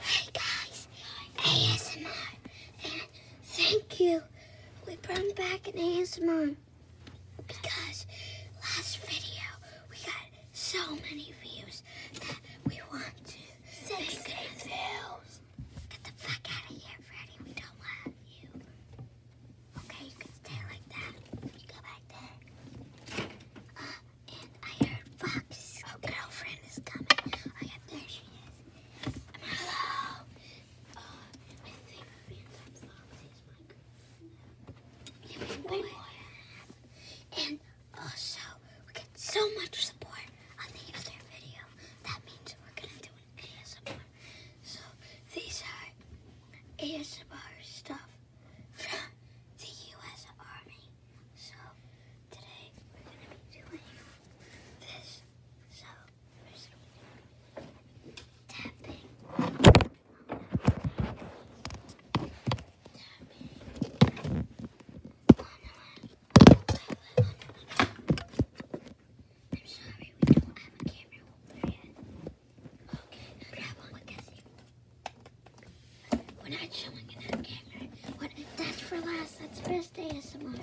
Hey guys, ASMR, thank you. We brought back an ASMR because last video we got so many views that we want to Six make it views. Get the fuck out of here, Freddy. We don't want you. Okay, you can stay like that. You go back there. Uh, and I heard Fox's girlfriend is coming. Oh there she is. hello. Uh, and also, we get so much support on the other video. That means we're gonna do an ASMR. So these are ASMR stuff from the U.S. Army. So today we're going to be doing this. So first we're going to be tapping. Tapping. I'm sorry, we don't have a camera holder yet. Okay, grab one, Cassie. We're not showing in that camera. What? are that's for last. That's best ASMR. Sorry,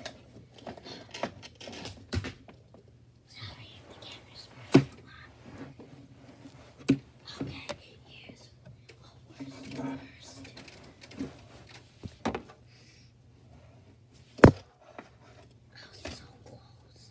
the camera's moving a lot. Okay, here's what first. I was so close.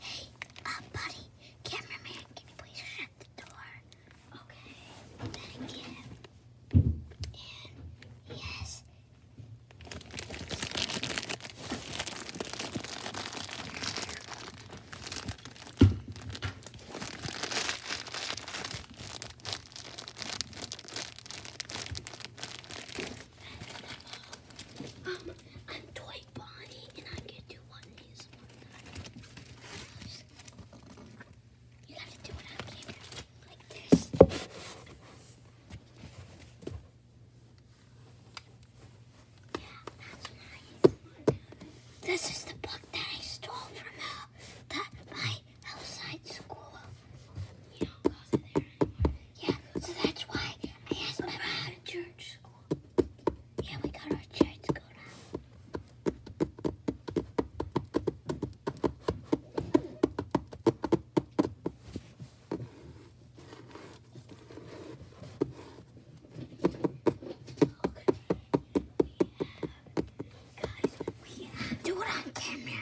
Hey, uh, buddy, cameraman, can you please shut the door? Okay, thank you. And yes. Um, I'm Toy Bonnie, and I get to one these You have to do it like this. Yeah, that's nice. This is the book that I stole from her, uh, the, my outside school. Yeah, so that's why I asked my mom. to church school. Yeah, we got our church school now. do it on camera.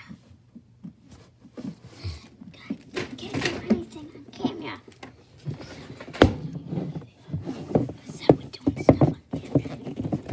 I can't do anything on camera. What's that? we doing stuff on camera. Okay.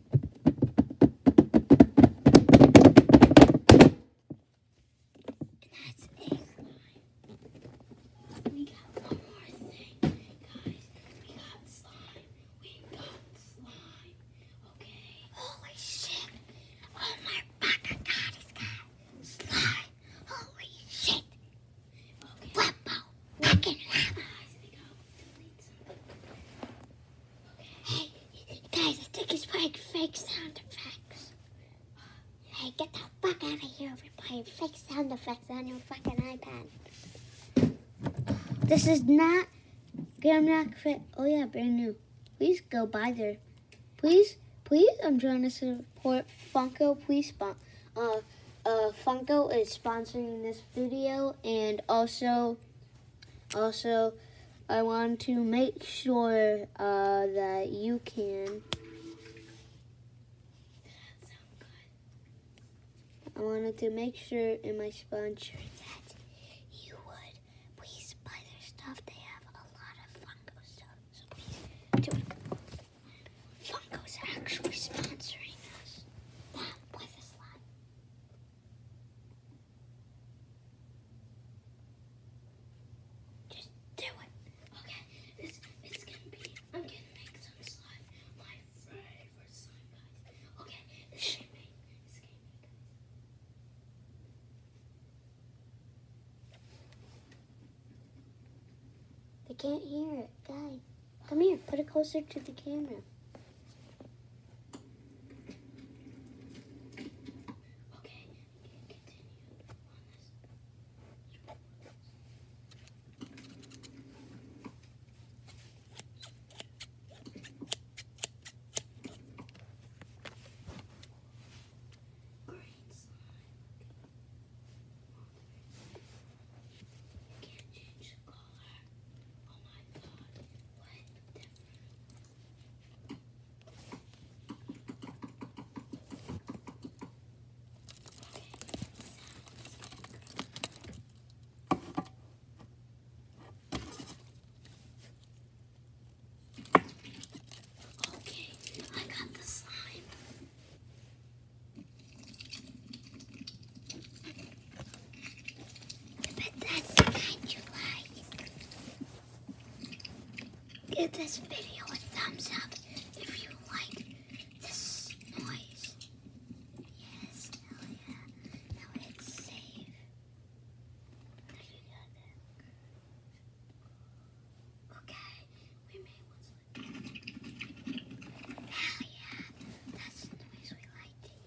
that's it. We got one more thing, guys. We got slime. We got slime. Okay. Holy shit! Oh my fucking god, he's got slime. Holy shit! Okay. Flippo, fucking lava. Guys, we got delete something. Hey, guys, I think he's playing fake sound effects. Hey, get the fuck out of here everybody! fake sound effects on your fucking iPad. This is not Grimrock Fit. Oh, yeah, brand new. Please go buy there. Please, please, I'm trying to support Funko. Please, Uh, uh, Funko is sponsoring this video and also also, I want to make sure uh, that you can. I wanted to make sure in my sponsor that you would please buy their stuff. They have a lot of Funko stuff. So please do it. Funko's actually sponsoring us. That was a slide. Just do it. Okay, this it's gonna be I'm gonna make some slime my favorite slime guys. Okay, this should be this They can't hear it, guy. Come here, put it closer to the camera. Okay, continue on this. Green slime. You can't change the color. Oh my god. What Okay, I got the slime. But that's the kind you like. Give this video a thumbs up if you like this noise. Yes, hell yeah. Now it's safe. Okay, we made one. Hell yeah, that's the noise we like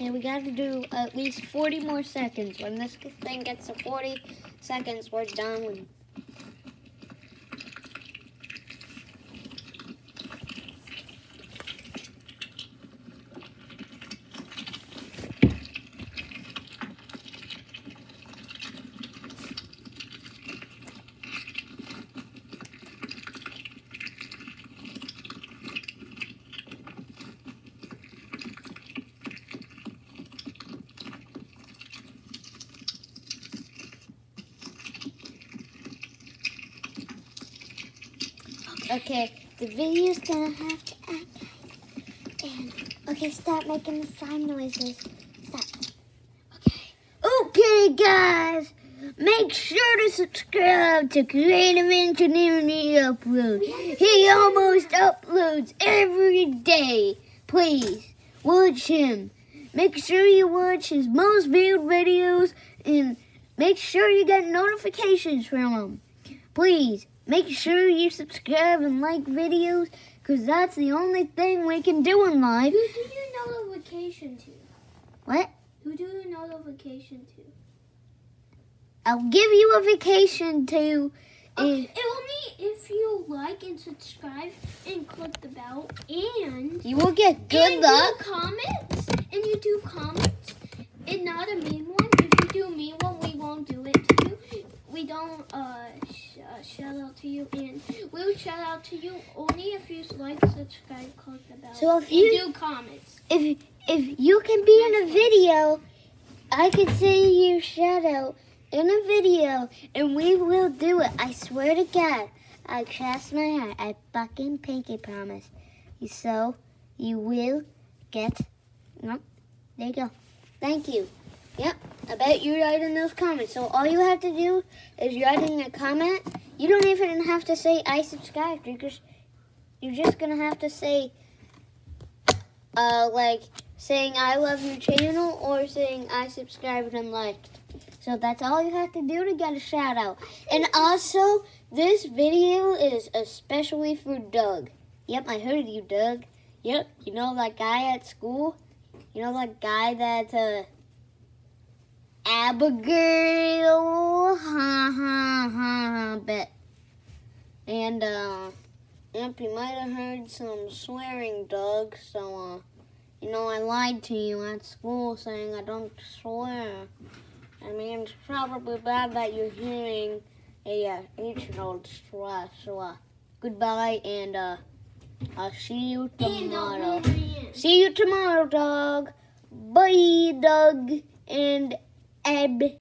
And we got to do at least 40 more seconds. When this thing gets to 40 seconds, we're done Okay, the video's gonna have to end. okay, stop making the slime noises. Stop. Okay. Okay guys, make sure to subscribe to Creative Engineering Neo. He almost uploads every day. Please, watch him. Make sure you watch his most viewed videos and make sure you get notifications from him. Please, make sure you subscribe and like videos because that's the only thing we can do in life. Who do you notification to? What? Who do you notification to? I'll give you a vacation too. Eh. It will be if you like and subscribe and click the bell and you will get good luck. comments and you do comments and not a mean one. If you do mean one, we won't do it to you. We don't uh, uh shout out to you and we will shout out to you only if you like, subscribe, click the bell. So if you do comments, if if you can be in a video, I can see your shadow in a video, and we will do it. I swear to God. I cross my heart. I fucking pinky promise. so you will get. Nope. There you go. Thank you. Yep. I bet you write in those comments. So all you have to do is write in a comment. You don't even have to say I subscribe because you're just going to have to say, uh, like, saying I love your channel or saying I subscribed and liked. So that's all you have to do to get a shout out. And also, this video is especially for Doug. Yep, I heard you, Doug. Yep, you know that guy at school? You know that guy that, uh, Abigail? Ha ha ha ha, bet. And, uh, yep, you might have heard some swearing, Doug, so, uh, you know, I lied to you at school saying I don't swear. I mean, it's probably bad that you're hearing a uh, 8 old swear, so, uh, goodbye, and, uh, I'll see you tomorrow. See you tomorrow, dog. Bye, dog and Eb.